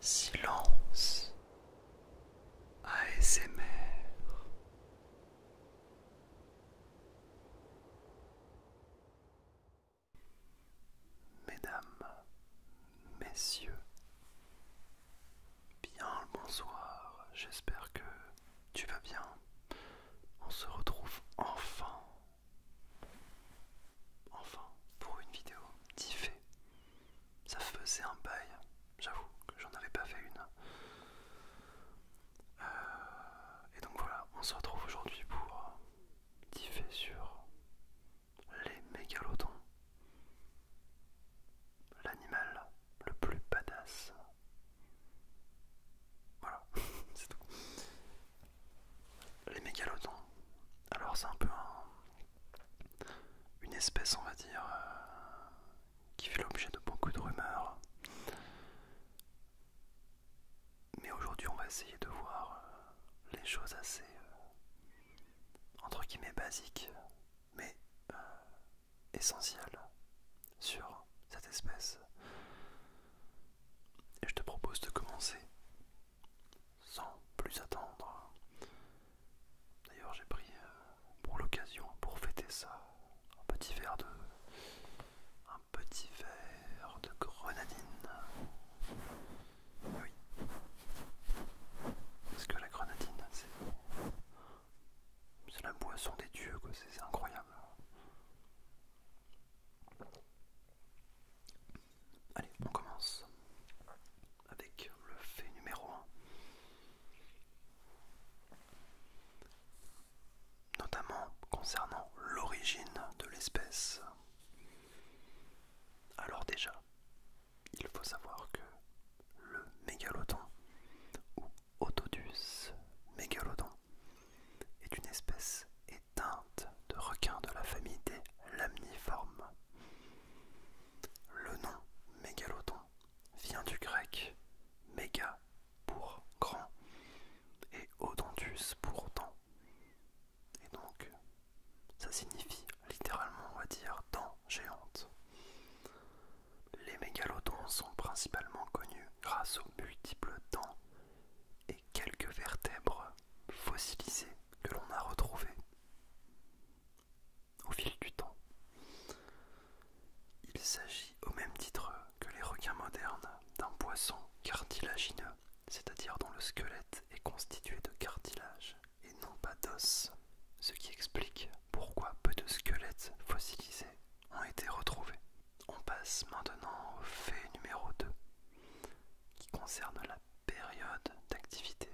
Silence ASMR Mesdames, Messieurs, bien le bonsoir, j'espère que tu vas bien. On se retrouve enfin enfin pour une vidéo tiffée. Ça faisait un bail, j'avoue que j'en avais pas fait une. Euh, et donc voilà, on se retrouve aujourd'hui pour tiffer sur les mégalodons. L'animal le plus badass. Voilà, c'est tout les mégalodons. Alors c'est un peu une espèce, on va dire, euh, qui fait l'objet de beaucoup de rumeurs. Mais aujourd'hui, on va essayer de voir euh, les choses assez, euh, entre guillemets, basiques, mais essentielles sur cette espèce. Et je te propose de commencer sans plus attendre. D'ailleurs, j'ai pris euh, pour l'occasion, pour fêter ça, un petit verre de. un petit verre de grenadine. Oui. Parce que la grenadine, c'est. c'est la boisson des dieux, c'est incroyable. Allez, on commence avec le fait numéro 1. Notamment concernant l'origine de l'espèce. Alors déjà, il faut savoir que le mégalodon ou Otodus mégalodon est une espèce Teinte de requins de la famille des lamniformes. Le nom mégalodon vient du grec méga pour grand et odontus pour dent. Et donc, ça signifie littéralement, on va dire, dent géante. Les mégalodons sont principalement connus grâce aux multiples dents et quelques vertèbres fossilisées que l'on a retrouvées au fil du temps. Il s'agit au même titre que les requins modernes d'un poisson cartilagineux, c'est-à-dire dont le squelette est constitué de cartilage et non pas d'os, ce qui explique pourquoi peu de squelettes fossilisés ont été retrouvés. On passe maintenant au fait numéro 2 qui concerne la période d'activité.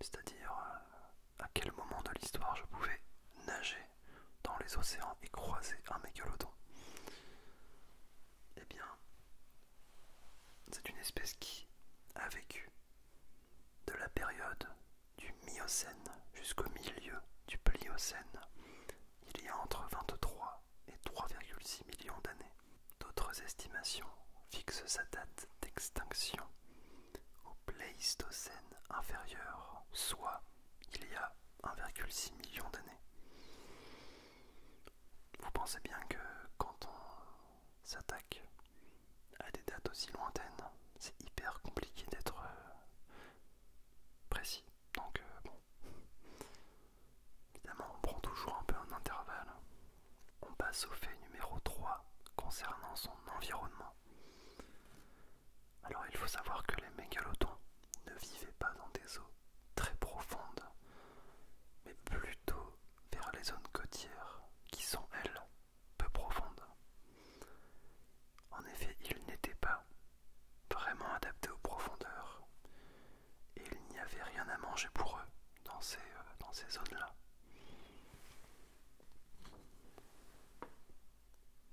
C'est-à-dire euh, à quel moment de l'histoire je pouvais nager dans les océans et croiser un mégalodon. Eh bien, c'est une espèce qui a vécu de la période du Miocène jusqu'au milieu du Pliocène, il y a entre 23 et 3,6 millions d'années. D'autres estimations fixent sa date d'extinction au Pléistocène inférieur, soit il y a 1,6 million d'années. Vous pensez bien que quand on s'attaque à des dates aussi lointaines, c'est hyper compliqué d'être euh, précis. Donc euh, bon, évidemment on prend toujours un peu un intervalle. On passe au fait numéro 3 concernant son environnement. Alors il faut savoir que les mégalotons ne vivaient pas dans des eaux très profondes, mais plutôt vers les zones côtières qui sont elles peu profondes. En effet, ils n'étaient pas vraiment adaptés aux profondeurs et il n'y avait rien à manger pour eux dans ces, euh, zones-là.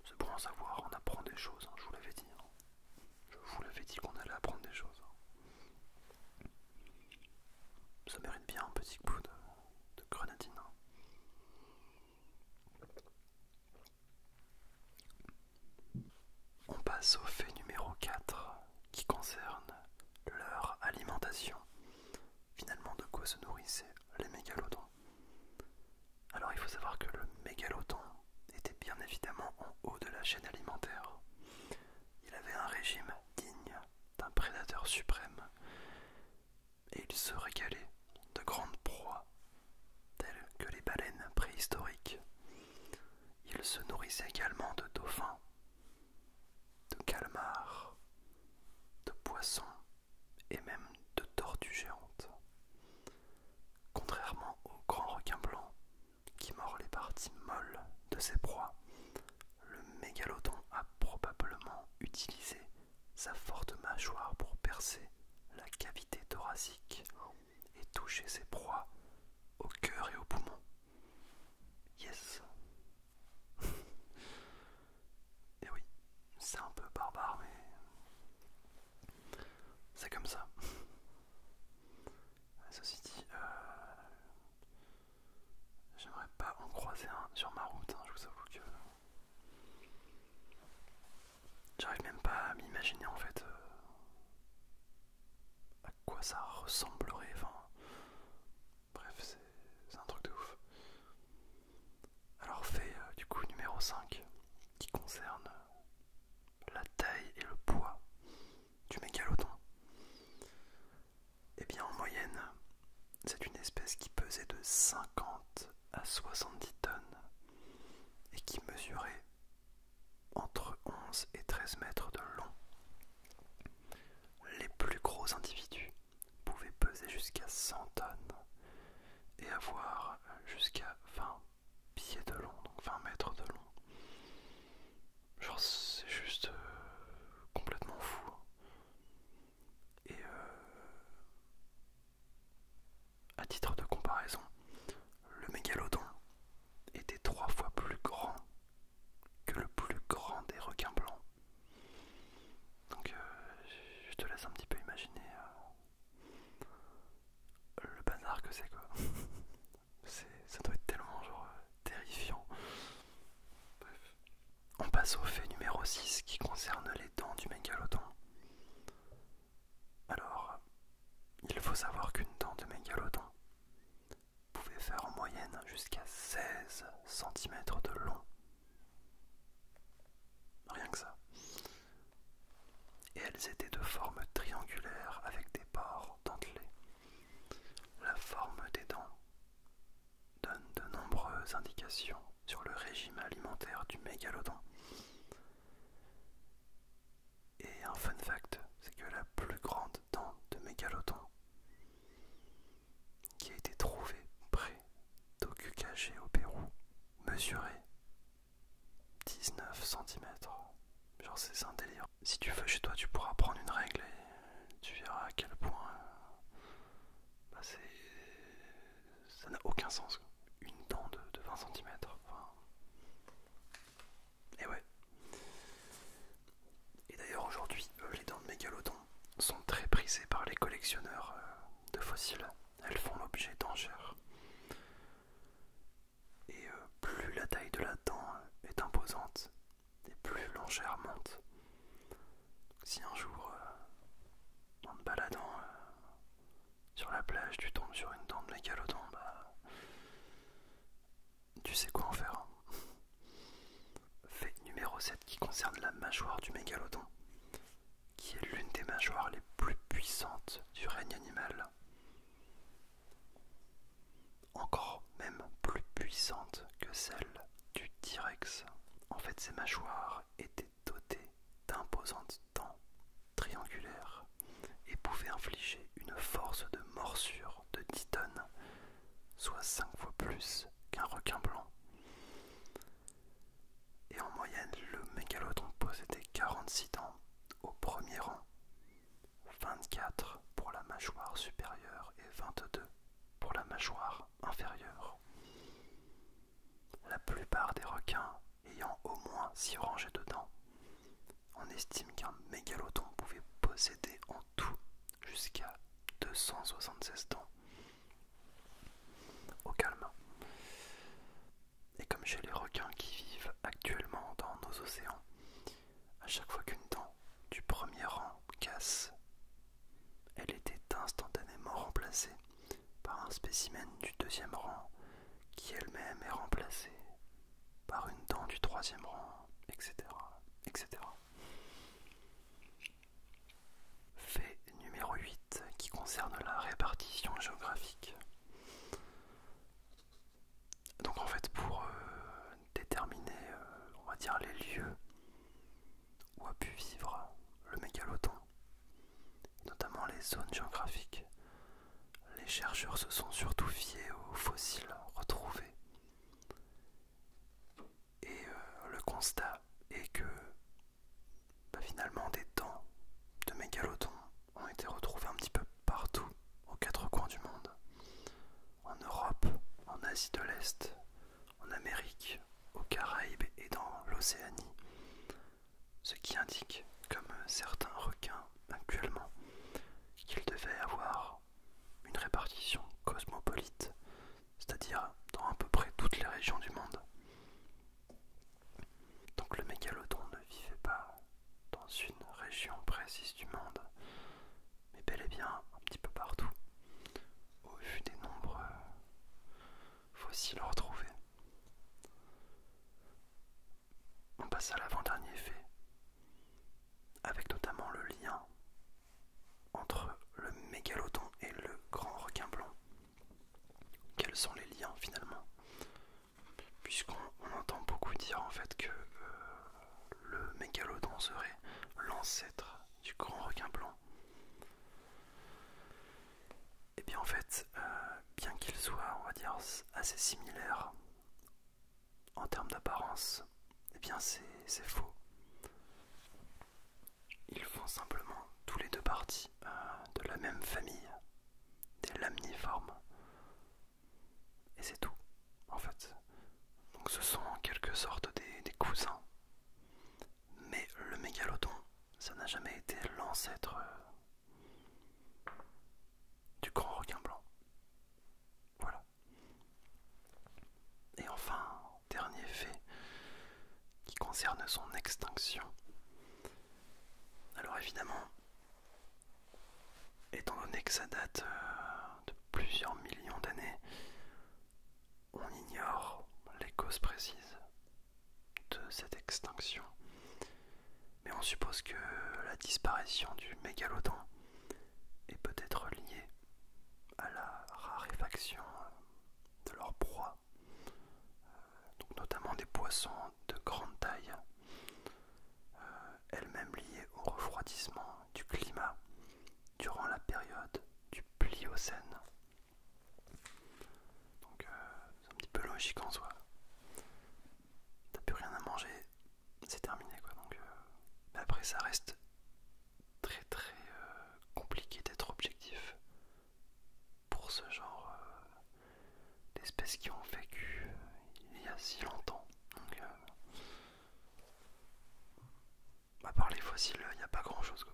C'est bon à savoir, on apprend des choses, hein, je vous l'avais dit. Hein. Je vous l'avais dit qu'on allait apprendre des choses. Hein. Ça mérite bien un petit coup de, grenadine. On passe au fait numéro 4 qui concerne leur alimentation. Finalement, de quoi se nourrissaient les mégalodons Alors, il faut savoir que le mégalodon était bien évidemment en haut de la chaîne alimentaire. Il avait un régime digne d'un prédateur suprême et il se régalait de grandes proies, telles que les baleines préhistoriques. Il se nourrissait également de dauphins, de calmars, de poissons et même de tortues géantes. Contrairement au grand requin blanc qui mord les parties molles de ses proies, le mégalodon a probablement utilisé sa forte mâchoire pour percer la cavité thoracique et toucher ses proies au cœur et au poumon. Yes. et eh oui, c'est un peu barbare, mais c'est comme ça. Ceci dit, euh, j'aimerais pas en croiser un sur ma route, hein, je vous avoue que... J'arrive même pas à m'imaginer en fait euh, à quoi ça ressemblerait. bref, c'est un truc de ouf. Alors fait euh, du coup numéro 5 qui concerne la taille et le poids du mégalodon. Eh bien en moyenne, c'est une espèce qui pesait de 50 à 70 tonnes et qui mesurait entre 11 et 13 mètres de long. Les plus gros individus pouvaient peser jusqu'à 100 tonnes et avoir jusqu'à 20 pieds de long, donc 20 mètres de long. Genre c'est juste euh, complètement fou. Hein. Et euh, à titre de comparaison, le mégalodon était trois fois plus grand que le plus grand des requins blancs. Donc euh, je te laisse un petit peu imaginer euh, le bazar que c'est quoi. ça doit être tellement genre terrifiant. On passe au fait numéro 6 qui concerne les dents du mégalodon. Alors, il faut savoir qu'une dent de mégalodon pouvait faire en moyenne jusqu'à 16 cm de long. Rien que ça. Et elles étaient de forme triangulaire avec des bords dentelés. La forme des dents donne de nombreuses indications sur le régime alimentaire du mégalodon. Et un fun fact, c'est que la plus grande dent de mégalodon qui a été trouvée près d'Au-Cue-Cagé au Pérou mesurait 19 cm. Genre c'est un délire. Si tu veux chez toi, tu pourras prendre une règle et tu verras à quel point euh, bah ça n'a aucun sens. Une dent de, 20 cm. Et ouais. Et d'ailleurs aujourd'hui, euh, les dents de mégalodon sont très prisées par les collectionneurs euh, de fossiles. Elles font l'objet d'enchères. Et euh, plus la taille de la dent est imposante, des plus l'enchère mentent. Si un jour, euh, en te baladant euh, sur la plage, tu tombes sur une dent de mégalodon, bah, tu sais quoi en faire. Hein. Fait numéro 7 qui concerne la mâchoire du mégalodon, qui est l'une des mâchoires les plus puissantes du règne animal. Encore même plus puissante que celle du T-Rex. En fait, ses mâchoires étaient dotées d'imposantes dents triangulaires et pouvaient infliger une force de morsure de 10 tonnes, soit 5 fois plus qu'un requin blanc. Et en moyenne, le mégalodon possédait 46 dents au premier rang, 24 pour la mâchoire supérieure et 22 pour la mâchoire inférieure. La plupart des requins ayant au moins 6 rangées de dents, on estime qu'un mégalodon pouvait posséder en tout jusqu'à 276 dents. Au calme. Et comme chez les requins qui vivent actuellement dans nos océans, à chaque fois qu'une dent du premier rang casse, elle était instantanément remplacée par un spécimen du deuxième rang qui elle-même est remplacée par une dent du troisième rang, etc. etc. Fait numéro 8 qui concerne la répartition géographique. Donc en fait pour euh, déterminer, euh, on va dire, les lieux où a pu vivre le mégalodon, notamment les zones géographiques. Les chercheurs se sont surtout fiés aux fossiles retrouvés. Et euh, le constat est que bah, finalement des dents de mégalodon ont été retrouvées un petit peu partout aux quatre coins du monde en Europe, en Asie de l'Est, en Amérique, aux Caraïbes et dans l'Océanie, ce qui indique, comme certains requins actuellement, qu'il devait avoir une répartition cosmopolite, c'est-à-dire dans à peu près toutes les régions du monde. Donc le mégalodon ne vivait pas dans une région précise du monde, mais bel et bien un petit peu partout, au vu des nombres euh, fossiles retrouvés. On passe à l'avant-dernier fait, avec notamment le lien entre le mégalodon et le grand requin blanc. Quels sont les liens finalement Puisqu'on entend beaucoup dire en fait que euh, le mégalodon serait l'ancêtre du grand requin blanc. Et eh bien en fait, euh, bien qu'ils soient, on va dire, assez similaires en termes d'apparence, et eh bien c'est faux. Ils font simplement tous les deux partie euh, de la même famille, des lamniformes, et c'est tout, en fait. Donc ce sont en quelque sorte des, cousins. Mais le mégalodon, ça n'a jamais été l'ancêtre euh, du grand requin blanc. Voilà. Et enfin, dernier fait qui concerne son extinction. Alors évidemment, étant donné que ça date euh, de plusieurs millions d'années, on ignore les causes précises de cette extinction. Mais on suppose que la disparition du mégalodon est peut-être liée à la raréfaction euh, de leurs proies, euh, notamment des poissons de grande taille elle-même liée au refroidissement du climat durant la période du Pliocène. Donc euh, c'est un petit peu logique en soi. T'as plus rien à manger, c'est terminé quoi. Donc, euh, Mais après ça reste très très euh, compliqué d'être objectif pour ce genre d'espèces qui ont vécu euh, il y a si longtemps. Donc, par euh, part les fossiles, il n'y a pas grand chose.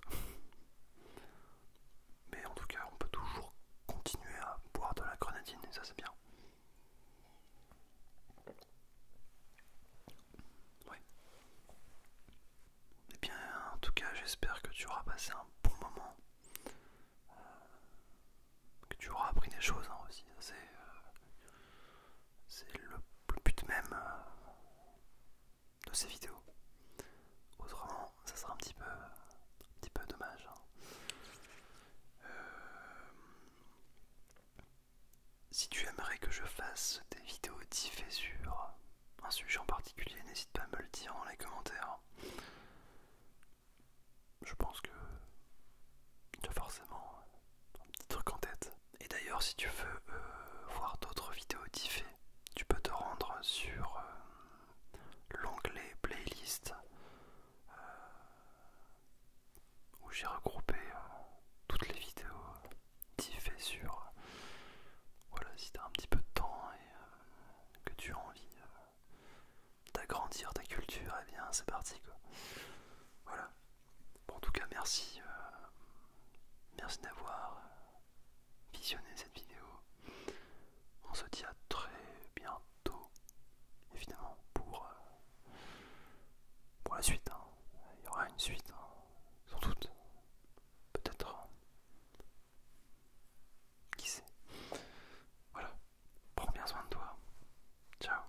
Mais en tout cas, on peut toujours continuer à boire de la grenadine et ça c'est bien. oui Et eh bien, en tout cas, j'espère que tu auras passé un bon moment. Euh, que tu auras appris des choses hein, aussi. Euh, c'est le, but même euh, de ces vidéos. Autrement, ça sera un petit peu, petit peu dommage. Hein. Euh, si tu aimerais que je fasse des vidéos diffées sur un sujet en particulier, n'hésite pas à me le dire dans les commentaires je pense que tu as forcément euh, un petit truc en tête. Et d'ailleurs, si tu veux euh, voir d'autres vidéos tiffées, tu peux te rendre sur euh, l'onglet playlist où j'ai regroupé toutes les vidéos tiffées sur. Voilà, si tu as un petit peu de temps et que tu as envie d'agrandir ta culture, et eh bien c'est parti quoi. Voilà. en tout cas, merci. Euh, merci d'avoir euh, visionné cette vidéo. On se dit à très bientôt, évidemment, pour, euh, pour la suite. Hein. Il y aura une suite, hein, sans doute. Peut-être hein. Qui sait Voilà. Prends bien soin de toi. Ciao.